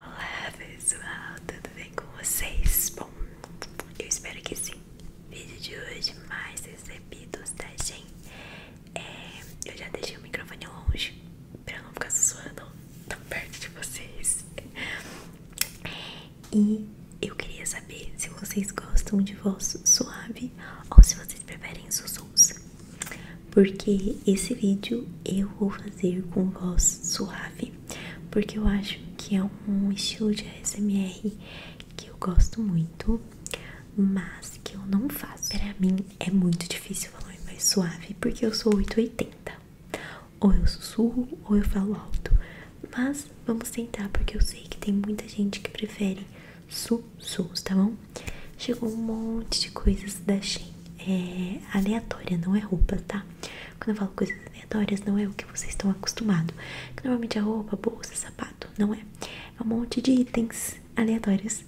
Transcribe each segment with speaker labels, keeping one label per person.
Speaker 1: Olá pessoal, tudo bem com vocês? Bom, eu espero que sim. vídeo de hoje mais recebido tá gente? É, eu já deixei o microfone longe pra não ficar suando tão perto de vocês. E eu queria saber se vocês gostam de voz suave ou se vocês preferem sussurros. Porque esse vídeo eu vou fazer com voz suave porque eu acho que é um estilo de ASMR que eu gosto muito, mas que eu não faço. Para mim é muito difícil falar mais suave, porque eu sou 880. Ou eu sussurro ou eu falo alto. Mas vamos tentar, porque eu sei que tem muita gente que prefere sussurros, tá bom? Chegou um monte de coisas da Shein. É aleatória, não é roupa, tá? Quando eu falo coisas aleatórias, não é o que vocês estão acostumados. normalmente é roupa, bolsa, sapato, não é? É um monte de itens aleatórios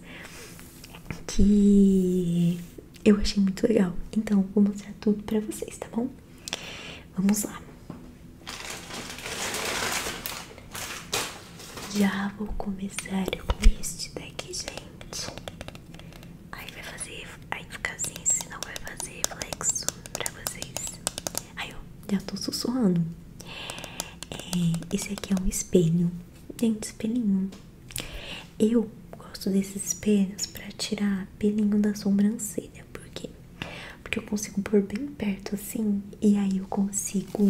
Speaker 1: que eu achei muito legal. Então, vou mostrar tudo pra vocês, tá bom? Vamos lá. Já vou começar com este daqui, gente. Aí vai fazer, aí fica assim, senão vai fazer reflexo pra vocês. Aí eu já tô sussurrando. É, esse aqui é um espelho, gente, espelhinho. Eu gosto desses espelhos pra tirar pelinho da sobrancelha, por quê? Porque eu consigo pôr bem perto assim, e aí eu consigo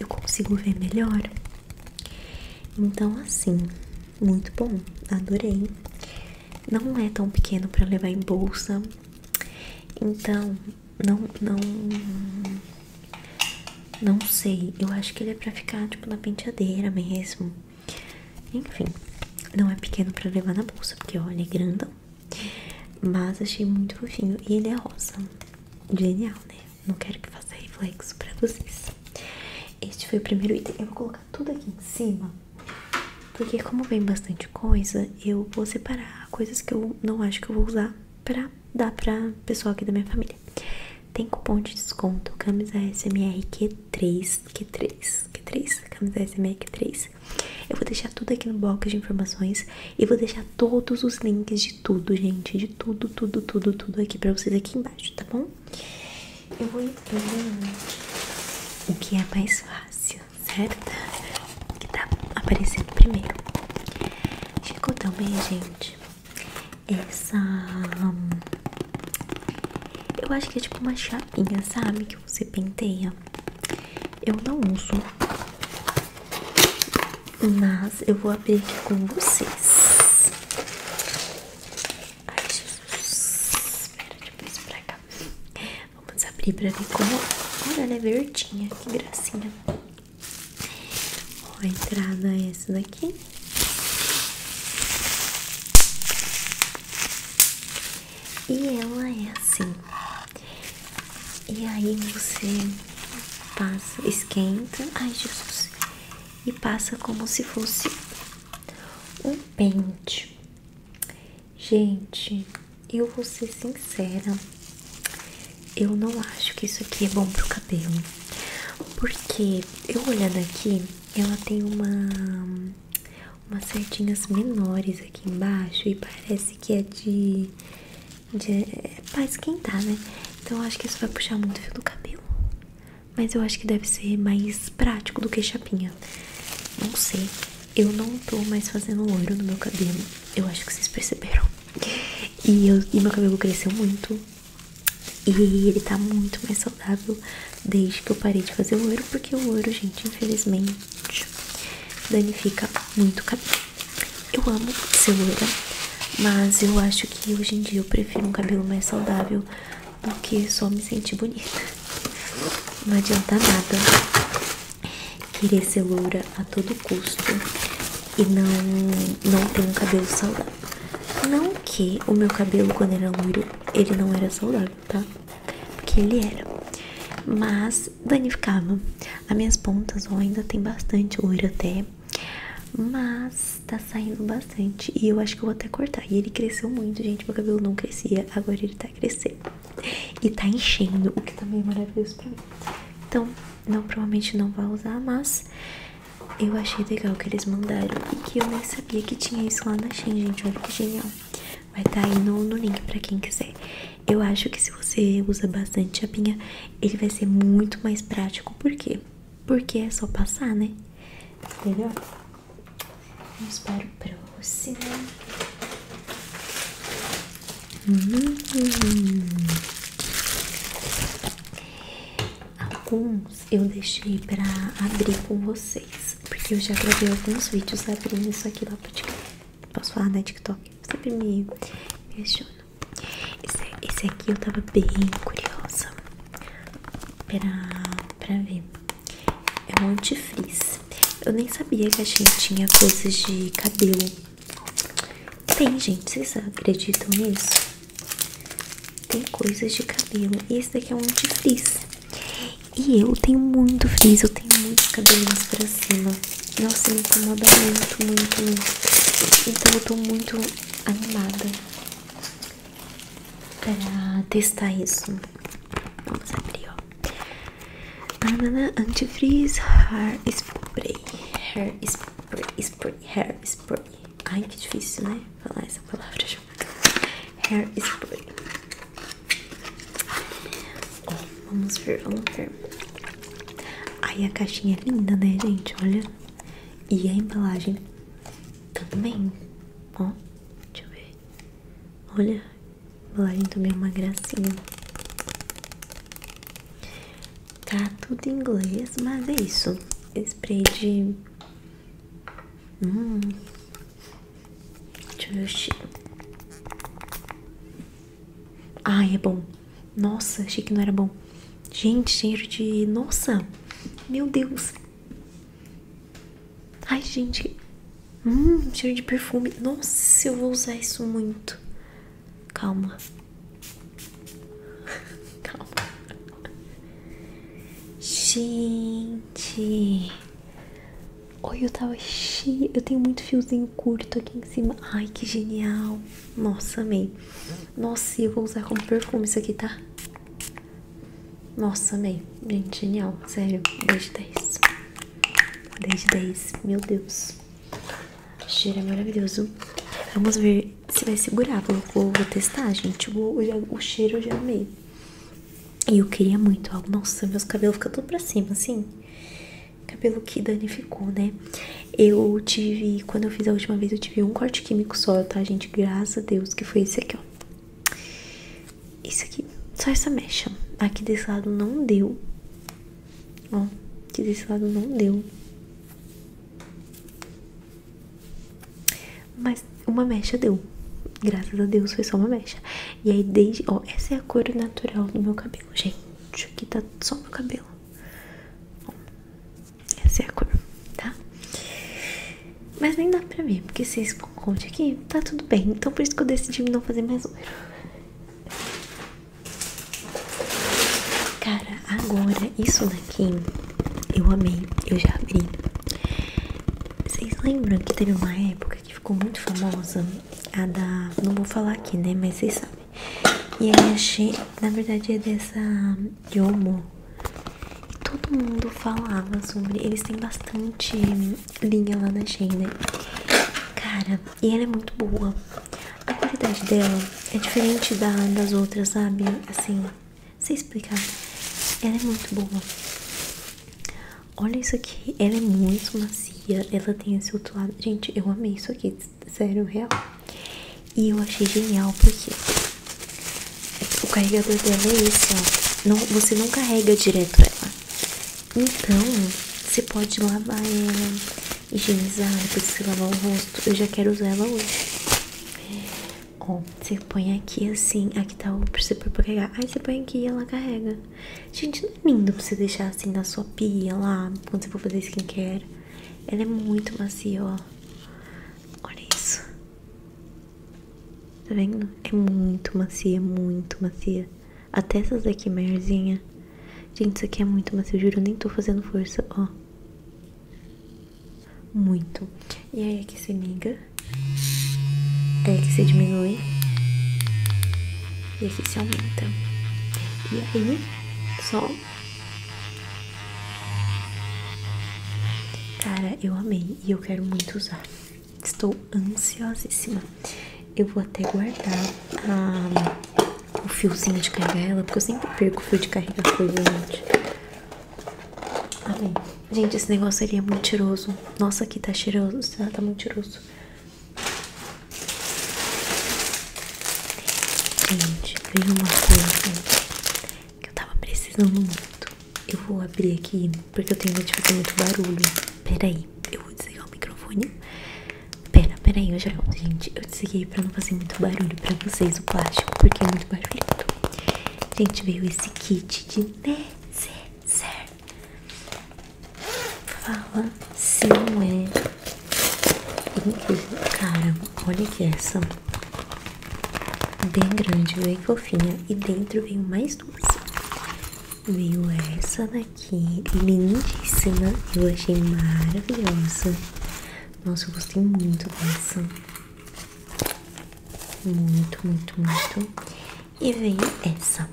Speaker 1: eu consigo ver melhor então assim, muito bom, adorei. Não é tão pequeno para levar em bolsa. Então, não não não sei, eu acho que ele é para ficar tipo na penteadeira mesmo. Enfim, não é pequeno para levar na bolsa, porque olha, é grandão. Mas achei muito fofinho e ele é rosa. Genial, né? Não quero que faça reflexo pra vocês. Este foi o primeiro item. Eu vou colocar tudo aqui em cima. Porque como vem bastante coisa, eu vou separar coisas que eu não acho que eu vou usar pra dar pra pessoal aqui da minha família. Tem cupom de desconto, camisa SMR Q3, Q3, Q3, camisa SMR Q3. Eu vou deixar tudo aqui no bloco de informações e vou deixar todos os links de tudo, gente, de tudo, tudo, tudo, tudo aqui pra vocês aqui embaixo, tá bom? Eu vou ir o que é mais fácil, certo? O que tá aparecendo primeiro. ficou tão bem, gente, essa... Eu acho que é tipo uma chapinha, sabe? Que você penteia. Eu não uso. Mas eu vou abrir aqui com vocês. Ai, Jesus. Espera, depois pra cá. Vamos abrir pra ver como. Olha, ela é né, verdinha. Que gracinha. Ó, a entrada é essa daqui. E ela é assim. E aí você passa, esquenta. Ai, Jesus. E passa como se fosse um pente. Gente, eu vou ser sincera. Eu não acho que isso aqui é bom pro cabelo. Porque eu olhando aqui, ela tem uma umas certinhas menores aqui embaixo e parece que é de, de é pra esquentar, né? Então eu acho que isso vai puxar muito o fio do cabelo. Mas eu acho que deve ser mais prático do que chapinha. Não sei. Eu não tô mais fazendo ouro no meu cabelo. Eu acho que vocês perceberam. E, meu cabelo cresceu muito. E ele tá muito mais saudável desde que eu parei de fazer ouro, Porque o ouro, gente, infelizmente, danifica muito o cabelo. Eu amo ser ouro, mas eu acho que hoje em dia eu prefiro um cabelo mais saudável porque só me senti bonita. Não adianta nada querer ser loura a todo custo e não, não ter um cabelo saudável. Não que o meu cabelo, quando era loiro, ele não era saudável, tá? Porque ele era. Mas danificava. As minhas pontas ainda tem bastante loiro até. Mas mas tá saindo bastante. E eu acho que eu vou até cortar. E ele cresceu muito, gente. Meu cabelo não crescia, agora ele tá crescendo. E tá enchendo, o que também é maravilhoso pra mim. Então, não, provavelmente não vai usar, mas eu achei legal que eles mandaram. E que eu nem sabia que tinha isso lá na Shein, gente. Olha que genial. Vai estar tá aí no, no link pra quem quiser. Eu acho que se você usa bastante chapinha, ele vai ser muito mais prático. Por quê? Porque é só passar, né? Entendeu? Vamos para o próximo. Alguns eu deixei para abrir com vocês, porque eu já gravei alguns vídeos abrindo isso aqui lá para pro TikTok. Posso falar na né, TikTok? Sempre me questiono. Esse, esse aqui eu tava bem curiosa para ver. É um antifrizz. Eu nem sabia que a gente tinha coisas de cabelo. Tem, gente, vocês acreditam nisso? Tem coisas de cabelo. E esse daqui é um antifrizz. E eu tenho muito frizz, eu tenho muitos cabelinhos pra cima. Nossa, me incomoda muito, muito, muito. Então eu tô muito animada para testar isso. Vamos abrir, ó. Banana antifreeze hair spray. Hair spray, hair spray. Ai, que difícil, né? Falar essa palavra junto. Hair spray. Ó, vamos ver, vamos ver. Ai, a caixinha é linda, né, gente? Olha. E a embalagem também. Ó, deixa eu ver. Olha, a embalagem também é uma gracinha. Tá tudo em inglês, mas é isso. Spray de. Hum. Deixa eu ver o cheiro. Ai, é bom. Nossa, achei que não era bom. Gente, cheiro de. Nossa! Meu Deus! Ai, gente. Hum, cheiro de perfume. Nossa, eu vou usar isso muito. Calma. Calma. Gente. Oi, eu tava cheia. Eu tenho muito fiozinho curto aqui em cima. Ai, que genial. Nossa, amei. Nossa, eu vou usar como perfume isso aqui, tá? Nossa, amei. Gente, genial. Sério, 10 de 10. 10 de 10. Meu Deus. O cheiro é maravilhoso. Vamos ver se vai segurar. Vou, testar, gente. o cheiro eu já amei. E eu queria muito Nossa, meus cabelos ficam tudo pra cima, assim. Cabelo que danificou, né? Eu tive, quando eu fiz a última vez, eu tive um corte químico só, tá, gente? Graças a Deus, que foi esse aqui, ó. Isso aqui, só essa mecha. Aqui desse lado não deu. Ó, aqui desse lado não deu. Mas uma mecha deu. Graças a Deus foi só uma mecha. E aí desde, ó, essa é a cor natural do meu cabelo, gente. Aqui tá só meu cabelo. Ó, essa é a cor, tá? Mas nem dá pra ver, porque se esse conte aqui, tá tudo bem. Então por isso que eu decidi não fazer mais ouro Cara, agora isso daqui eu amei, eu já abri. Vocês lembram que teve uma época que ficou muito famosa? A da. Não vou falar aqui, né? Mas vocês sabem. E aí achei. Na verdade é dessa Yomo todo mundo falava sobre. Eles têm bastante linha lá na Shein, Cara, e ela é muito boa. A qualidade dela é diferente das outras, sabe? Assim, sei explicar. Ela é muito boa. Olha isso aqui, ela é muito macia. Ela tem esse outro lado. Gente, eu amei isso aqui, sério, real. E eu achei genial porque o carregador dela é esse, ó. Não, você não carrega direto ela. Então, você pode lavar ela, higienizar, depois você lavar o rosto. Eu já quero usar ela hoje. É. Ó, você põe aqui assim, aqui tá o você pôr carregar. Aí você põe aqui e ela carrega. Gente, não é lindo pra você deixar assim na sua pia lá, quando você for fazer skincare. Ela é muito macia, ó. Olha isso. Tá vendo? É muito macia, muito macia. Até essas daqui maiorzinha. Gente, isso aqui é muito macio, juro. Eu nem tô fazendo força, ó. Muito. E aí aqui se liga Aí aqui se diminui. E aqui se aumenta. E aí, só... Cara, eu amei e eu quero muito usar. Estou ansiosíssima. Eu vou até guardar ah, o fiozinho de carregar ela, porque eu sempre perco o fio de carregar coisa, gente. Amém. Gente, esse negócio ali é muito cheiroso. Nossa, aqui tá cheiroso. Ah, tá muito cheiroso. Gente, veja uma coisa que eu tava precisando muito. Eu vou abrir aqui porque eu tenho medo de fazer muito barulho. Peraí, eu vou desligar o microfone. Pera, peraí, eu já volto, gente. Eu desliguei pra não fazer muito barulho pra vocês o plástico, porque é muito barulhento. Gente, veio esse kit de necessaire. Fala se não é Caramba, olha que essa. Bem grande, bem fofinha. E dentro vem mais mais Veio essa daqui, lindíssima. Eu achei maravilhosa. Nossa, eu gostei muito dessa. Muito, muito, muito. E veio essa.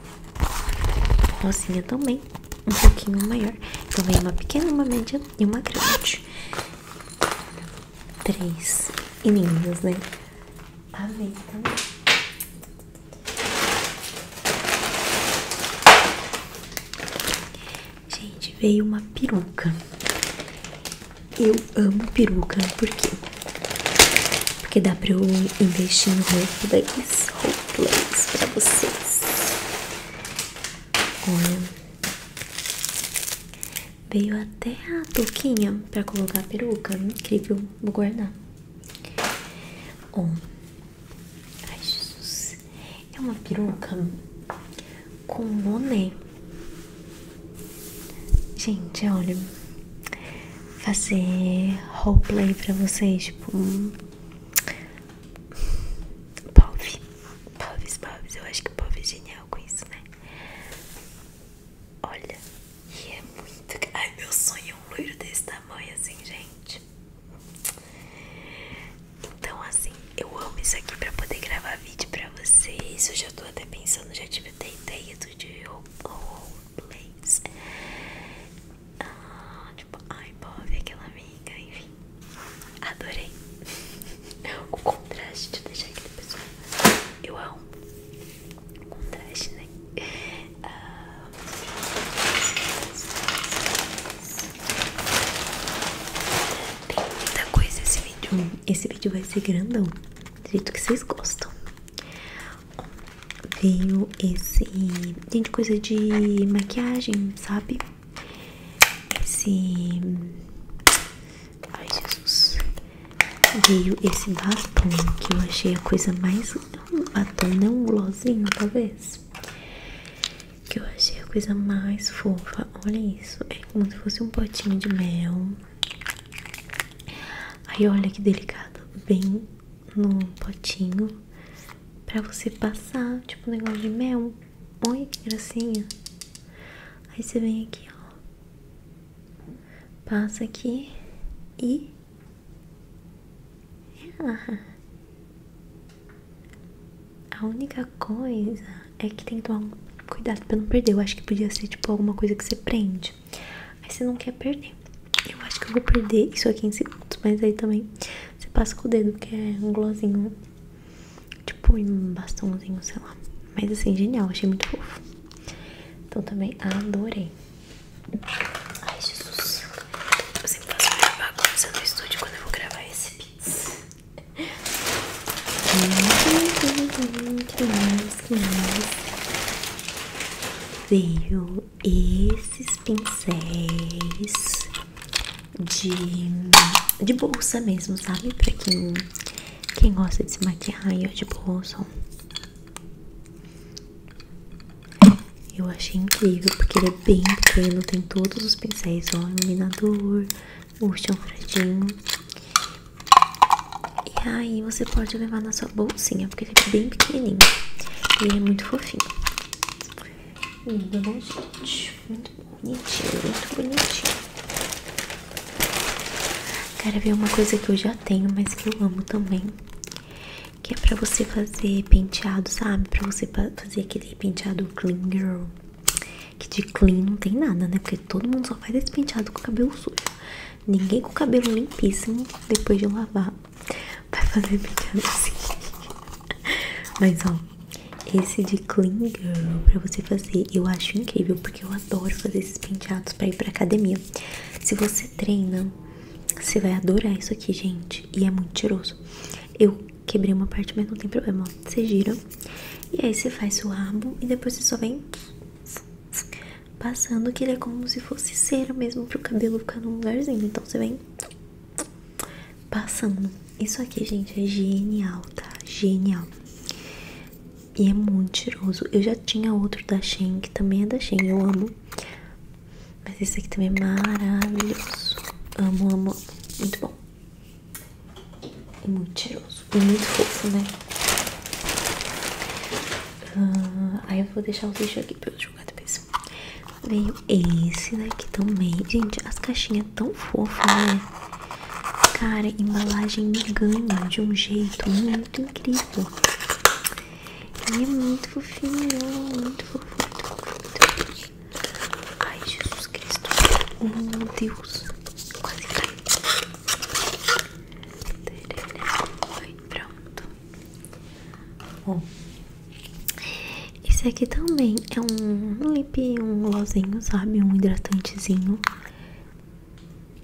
Speaker 1: Rosinha também. Um pouquinho maior. Então veio uma pequena, uma média e uma grande. Três. E lindas, né? Amei Gente, veio uma peruca. Eu amo peruca, por quê? Porque dá pra eu investir no em roupas, roupas pra vocês. Olha, Veio até a touquinha pra colocar a peruca. Incrível, vou guardar. Ó. Oh. Ai, Jesus. É uma peruca com boné. Gente, olha. Fazer roleplay pra vocês, tipo. Pove. Poves, Poves. Eu acho que Pove é genial com isso, né? Olha. E é muito. Ai, meu sonho é um loiro desse tamanho, assim, gente. Então, assim, eu amo isso aqui pra poder gravar vídeo pra vocês. Eu já tô até pensando, já tive até ideia do de roleplays. Ah, tipo, ai, Bob, aquela amiga, enfim. Adorei o contraste. Deixa aqui, pessoal. Eu amo com traje, né? Ah, tem muita coisa esse vídeo. Hum, esse vídeo vai ser grandão, do que vocês gostam. Veio esse. Tem de coisa de maquiagem, sabe? Esse. Ai, Jesus veio esse batom que eu achei a coisa mais. Um batom, não um glossinho, talvez. Que eu achei a coisa mais fofa. Olha isso, é como se fosse um potinho de mel. Aí olha que delicado, bem no potinho pra você passar, tipo um negócio de mel. Olha que gracinha. Aí você vem aqui, ó passa aqui e A única coisa é que tem que tomar cuidado pra não perder. Eu acho que podia ser tipo alguma coisa que você prende. Aí você não quer perder. Eu acho que eu vou perder isso aqui em segundos, mas aí também você passa com o dedo, que é um glossinho, tipo um bastãozinho, sei lá. Mas assim, genial, achei muito fofo. Então também adorei. Ai, Jesus. Eu sempre faço muita bagunça no estúdio quando eu vou gravar esse beats. Que mais, que mais? Veio esses pincéis de, de bolsa mesmo, sabe? Pra quem, quem gosta de se maquiar e é de bolsa. Eu achei incrível porque ele é bem pequeno, tem todos os pincéis, ó, iluminador, o chanfradinho. E aí você pode levar na sua bolsinha, porque ele é bem pequenininho. E ele é muito fofinho. Lindo, né, gente? Muito bonitinho, muito bonitinho. Cara, ver uma coisa que eu já tenho, mas que eu amo também. Que é pra você fazer penteado, sabe? Pra você fazer aquele penteado clean girl. Que de clean não tem nada, né? Porque todo mundo só faz esse penteado com o cabelo sujo. Ninguém com o cabelo limpíssimo, depois de lavar, vai fazer penteado assim. Mas ó, esse de clean girl pra você fazer, eu acho incrível. Porque eu adoro fazer esses penteados pra ir pra academia. Se você treina você vai adorar isso aqui, gente. E é muito tiroso. Eu quebrei uma parte, mas não tem problema. Você gira. E aí você faz seu rabo. E depois você só vem passando que ele é como se fosse cera mesmo para o cabelo ficar num lugarzinho. Então você vem passando. Isso aqui, gente, é genial, tá? Genial. E é muito cheiroso. Eu já tinha outro da Shein, que também é da Shein, eu amo. Mas esse aqui também é maravilhoso. Amo, amo. Muito bom. E muito cheiroso. E muito fofo, né? Ah, aí eu vou deixar o lixo aqui pra eu jogar depois. Veio esse daqui também. Gente, as caixinhas tão fofas, né? Cara, embalagem me ganha de um jeito muito incrível. Ele é muito fofinho, é muito fofinho. Ai, Jesus Cristo. Oh, meu Deus. Quase caiu. Foi, pronto. Bom. Esse aqui também é um lip, um glossinho, sabe? Um hidratantezinho.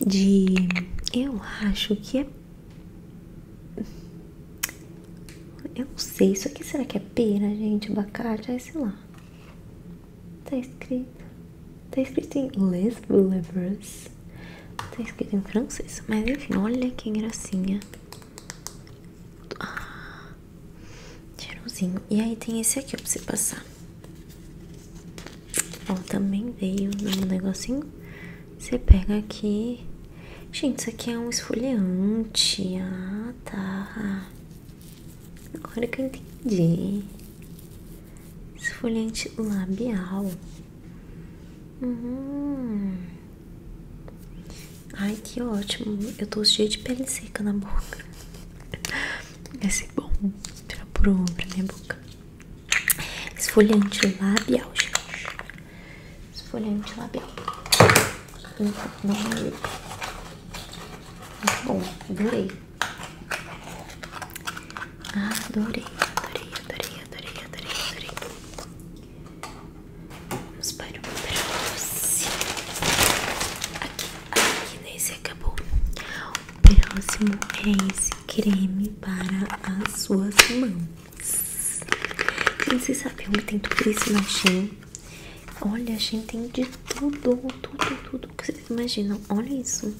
Speaker 1: De... Eu acho que é eu não sei, isso aqui será que é pera, gente? Abacate? Ai, sei lá. Tá escrito. Tá escrito em Les Boulevers. Tá escrito em francês. Mas enfim, olha que engraçinha. Ah, E aí tem esse aqui ó, pra você passar. Ó, também veio um negocinho. Você pega aqui. Gente, isso aqui é um esfoliante. Ah, tá. Agora que eu entendi. Esfoliante labial. Uhum. Ai, que ótimo. Eu tô cheia de pele seca na boca. Esse é bom pra, pro, pra minha boca. Esfoliante labial, gente. Esfoliante labial. Então, não é ele. Muito bom, adorei. Adorei, adorei, adorei, adorei, adorei, Vamos para o próximo. Aqui, aqui nesse acabou. O próximo é esse creme para as suas mãos. Gente, vocês sabem onde tem tudo isso não né, tinha Olha, a gente tem de tudo, tudo, tudo que vocês imaginam. Olha isso.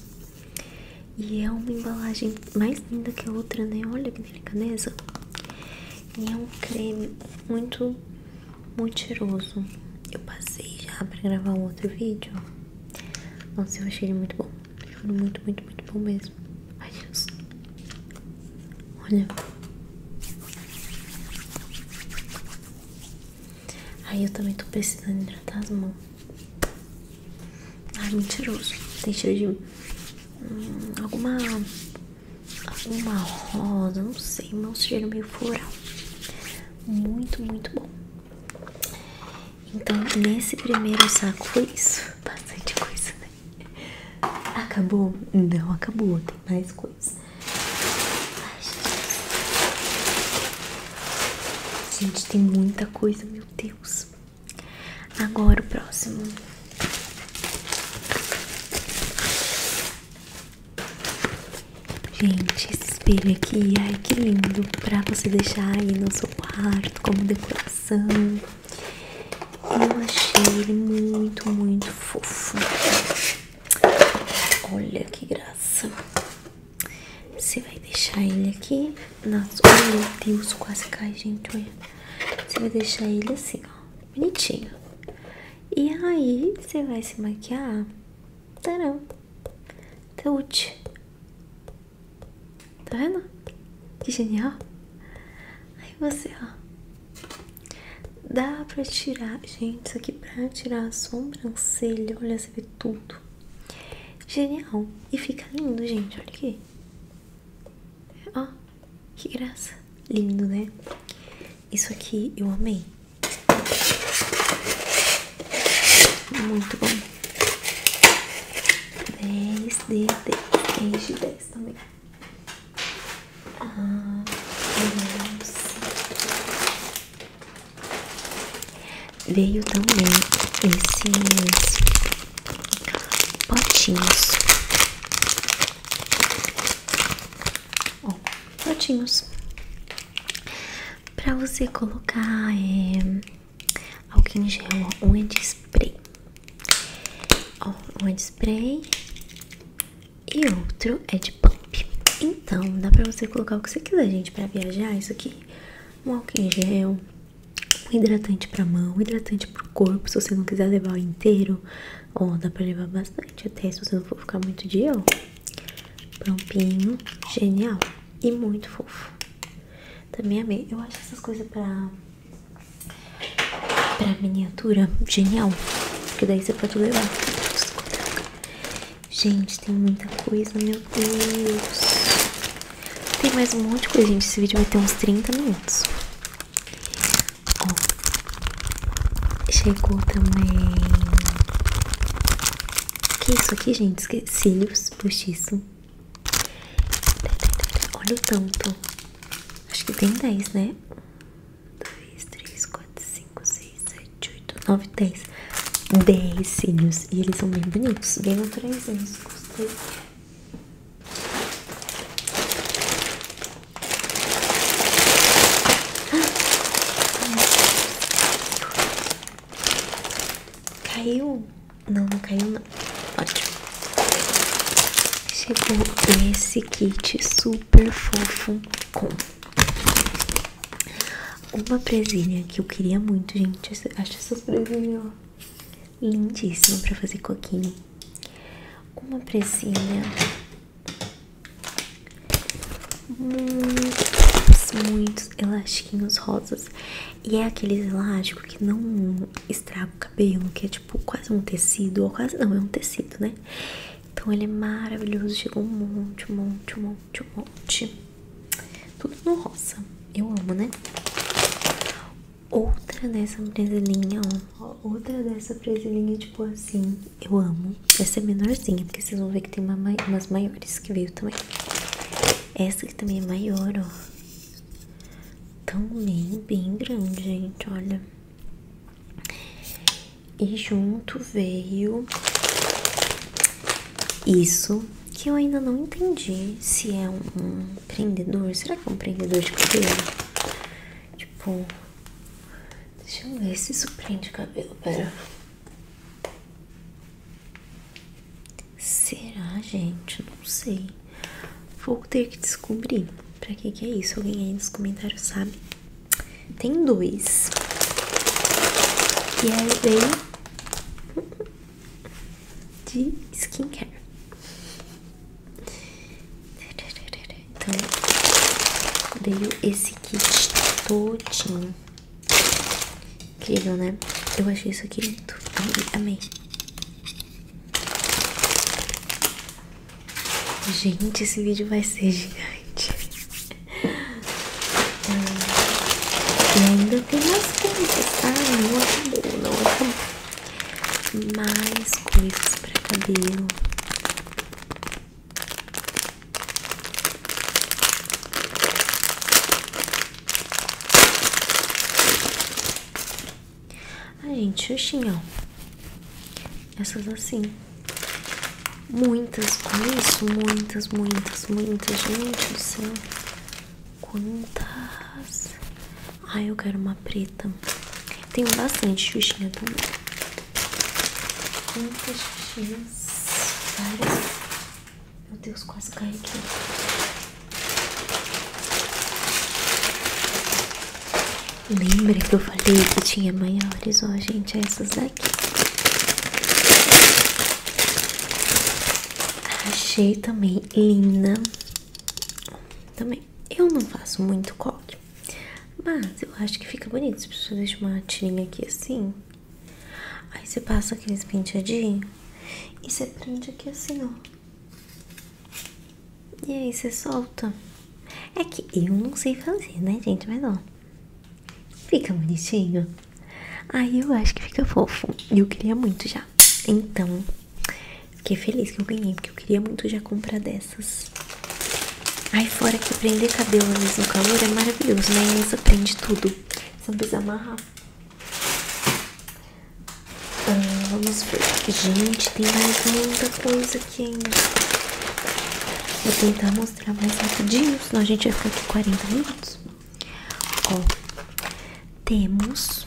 Speaker 1: E é uma embalagem mais linda que a outra, né? Olha que delicadeza. E é um creme muito, muito cheiroso. Eu passei já pra gravar outro vídeo. Nossa, eu achei ele muito bom. Ficando muito, muito, muito bom mesmo. Ai, Deus. Olha. Aí eu também tô precisando hidratar as mãos. Ah, mentiroso. Tem cheiro de hum, alguma. alguma rosa, não sei, mas um cheiro meio floral. Muito, muito bom. Então, nesse primeiro saco foi isso. Bastante coisa, né? Acabou? Não acabou, tem mais coisa. Ai, gente. gente, tem muita coisa, meu Deus. Agora o próximo. Gente, esse espelho aqui, ai que lindo, pra você deixar aí no seu quarto como decoração, eu achei ele muito, muito fofo. Olha que graça. Você vai deixar ele aqui. Nossa, oh, meu Deus, quase cai, gente. Olha. Você vai deixar ele assim, ó. Bonitinho. E aí, você vai se maquiar. Tcharam. Tude. Tá vendo? Que genial! Aí você, ó. Dá pra tirar, gente, isso aqui pra tirar a sobrancelha. Olha, você vê tudo. Genial! E fica lindo, gente. Olha aqui. Ó, que graça. Lindo, né? Isso aqui eu amei. Muito bom. 10 de 10, 10 também. Ah, veio também esses potinhos. Ó, potinhos. Pra você colocar é, álcool em gel, ó, é de spray. Ó, um é de spray e outro é de pump. Então, dá pra você colocar o que você quiser, gente, pra viajar. Isso aqui, um álcool em gel, um hidratante pra mão, um hidratante pro corpo, se você não quiser levar o inteiro. Ó, dá pra levar bastante, até se você não for ficar muito dia, ó. Prompinho, genial e muito fofo. Também amei. Eu acho essas coisas pra Pra miniatura, genial. Porque daí você pode levar. Gente, tem muita coisa, meu Deus. Tem mais um monte de coisa, gente. Esse vídeo vai ter uns 30 minutos. Ó, chegou também. Que isso aqui, gente? Cílios postiço. Olha o tanto. Acho que tem 10, né? 1, 2, 3, 4, 5, 6, 7, 8, 9, 10. 10 cílios. E eles são bem bonitos. Bem naturaizinhos. Gostei. Ah, caiu. Não, não caiu não. Ótimo. Chegou esse kit super fofo com uma presilha que eu queria muito, gente. Acho essas presilhas, ó, lindíssima pra fazer coquinho. Uma presilha muitos, muitos elastiquinhos rosas. E é aqueles elásticos que não estraga o cabelo, que é tipo quase um tecido, ou quase não, é um tecido, né? Então ele é maravilhoso, chegou um monte, um monte, um monte, um monte. Tudo no rosa, eu amo, né? Outra dessa presilhinha, ó. Outra dessa presilhinha, tipo assim, eu amo. Essa é menorzinha, porque vocês vão ver que tem uma, umas maiores que veio também. Essa que também é maior, ó também bem grande, gente, olha. E junto veio isso que eu ainda não entendi se é um prendedor. Será que é um prendedor de cabelo? Tipo, deixa eu ver se isso prende cabelo. Pera. Será, gente? Não sei. Vou ter que descobrir pra que é isso. Alguém aí nos comentários sabe? Tem dois. E aí veio de skincare. Então, veio esse kit todinho. Incrível, né? Eu achei isso aqui muito Amei, amei. Gente, esse vídeo vai ser gigante. Ah, ainda tem mais coisas, tá? Não acabou, não acabou. Mais coisas para cabelo. Ah, gente, xuxinha, ó. Essas assim. Muitas, olha isso, muitas, muitas, muitas, gente do céu. Quantas? Ai, ah, eu quero uma preta. Tem bastante xuxinha também. Quantas xuxinhas? Várias. Meu Deus, quase caí aqui. Lembra que eu falei que tinha maiores? Ó, gente, é essas aqui Achei também linda. Também. Eu não faço muito coque, mas eu acho que fica bonito. Se você deixa uma tirinha aqui assim, aí você passa aqueles penteadinhos e você prende aqui assim, ó. E aí você solta. É que eu não sei fazer, né, gente? Mas ó. Fica bonitinho. Aí eu acho que fica fofo. E eu queria muito já. Então, fiquei feliz que eu ganhei, porque eu queria muito já comprar dessas. Aí fora que prender cabelo mesmo no calor é maravilhoso, né? Isso prende tudo. Você não precisa amarrar. Ah, vamos ver. Gente, tem mais muita coisa aqui ainda. Vou tentar mostrar mais rapidinho, senão a gente vai ficar aqui 40 minutos. Ó, temos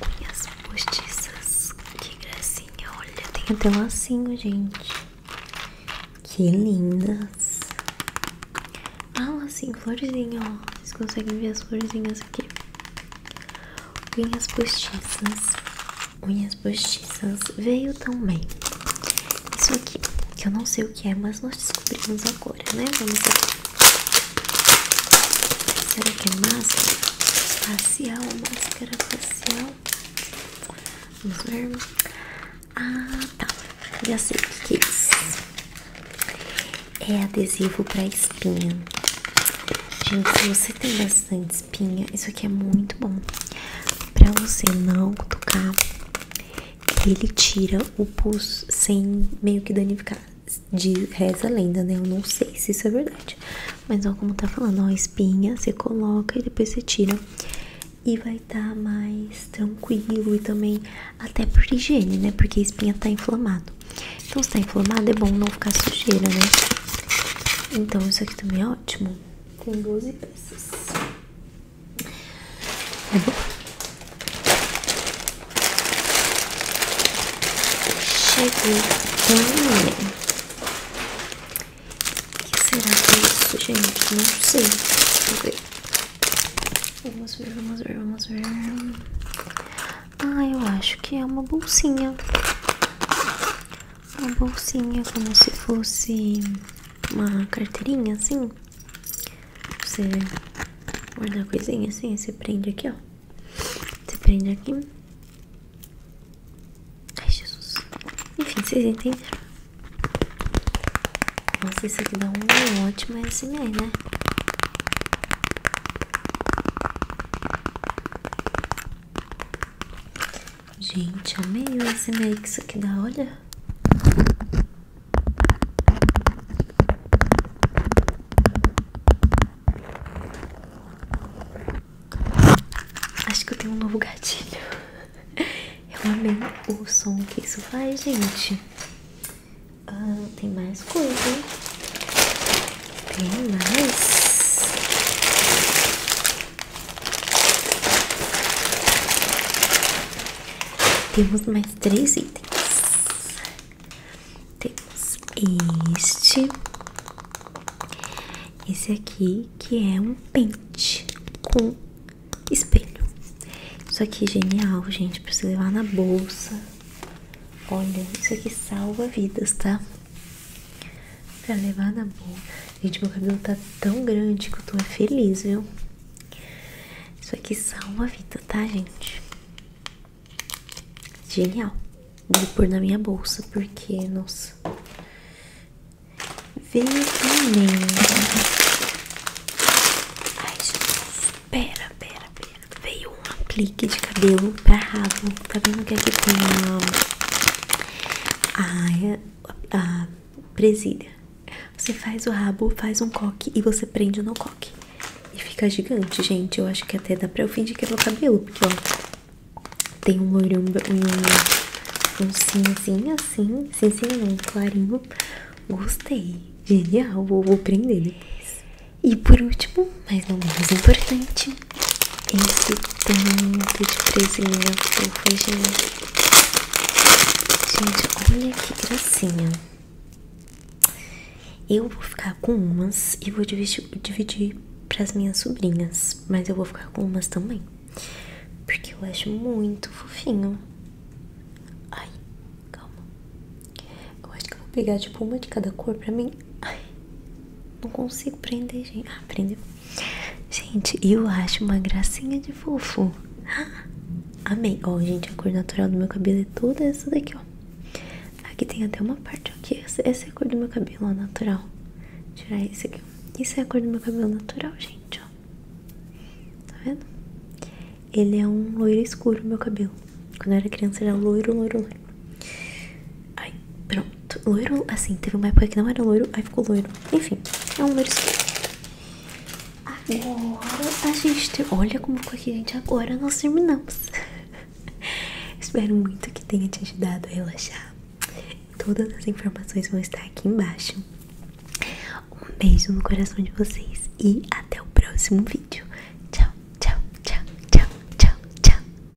Speaker 1: unhas postiças. Que gracinha, olha, tem até lacinho, gente. Que lindas. Ah, lacinho, florzinha, ó. Vocês conseguem ver as florzinhas aqui. Unhas postiças, unhas postiças veio também. Isso aqui, que eu não sei o que é, mas nós descobrimos agora, né? Vamos ver. Será que é máscara facial? Máscara facial? Vamos ver. Ah, tá. Já sei o que é isso. É adesivo para espinha. Gente, se você tem bastante espinha, isso aqui é muito bom pra você não tocar. Ele tira o pus sem meio que danificar. De reza lenda, né? Eu não sei se isso é verdade. Mas ó, como tá falando, ó, espinha, você coloca e depois você tira. E vai estar tá mais tranquilo e também até por higiene, né? Porque a espinha tá inflamada. Então, se tá inflamado, é bom não ficar sujeira, né? Então, isso aqui também é ótimo. Tem 12 peças. É bom. Cheguei também. O que será que é isso, gente? Não sei. Vamos ver. Vamos ver, vamos ver, vamos ver. Ah, eu acho que é uma bolsinha. Uma bolsinha como se fosse uma carteirinha assim. Você guarda coisinha assim, você prende aqui, ó. Você prende aqui. Ai, Jesus. Enfim, vocês entenderam. Nossa, isso aqui dá um ótimo SMR, né? Gente, amei esse meio que isso aqui dá, olha. Acho que eu tenho um novo gatilho. Eu amei o som que isso faz, gente. Ah, tem mais coisa, hein? Tem mais. Temos mais três itens. Temos este. Esse aqui que é um pente com espelho. Isso aqui é genial, gente, pra você levar na bolsa. Olha, isso aqui salva vidas, tá? Pra levar na boca. Gente, meu cabelo tá tão grande que eu tô feliz, viu? Isso aqui salva a vida, tá, gente? Genial. Vou pôr na minha bolsa, porque, nossa. Veio Ai, Jesus. Pera, pera, pera. Veio um aplique de cabelo pra rabo tá vendo que aqui é tem a, a, presilha. Você faz o rabo, faz um coque e você prende no coque. E fica gigante, gente. Eu acho que até dá pra eu fingir que é meu cabelo, porque ó, tem um loirão, um, cinzinho assim, cinzinho não, clarinho. Gostei, genial, vou, vou prender depois. E por último, mas não menos importante, esse tanto de presenha fofa, gente. Gente, olha que gracinha. Eu vou ficar com umas e vou dividir, dividir para as minhas sobrinhas, mas eu vou ficar com umas também, porque eu acho muito fofinho. Ai, calma. Eu acho que eu vou pegar tipo uma de cada cor pra mim. Ai. Não consigo prender, gente. Ah, prendeu. Gente, eu acho uma gracinha de fofo. Ah, amei. Ó, gente, a cor natural do meu cabelo é toda essa daqui, ó. Aqui tem até uma parte, ó. Que essa, é a cor do meu cabelo, ó, natural. tirar esse aqui, ó. Isso é a cor do meu cabelo natural, gente, ó. Tá vendo? Ele é um loiro escuro, meu cabelo. Quando eu era criança, era loiro, loiro, loiro. Ai, pronto. Loiro, assim, teve uma época que não era loiro, aí ficou loiro. Enfim, é um loiro escuro. Agora a gente Olha como ficou aqui, gente. Agora nós terminamos. Espero muito que tenha te ajudado a relaxar. Todas as informações vão estar aqui embaixo. Um beijo no coração de vocês e até o próximo vídeo. Tchau, tchau, tchau, tchau, tchau, tchau.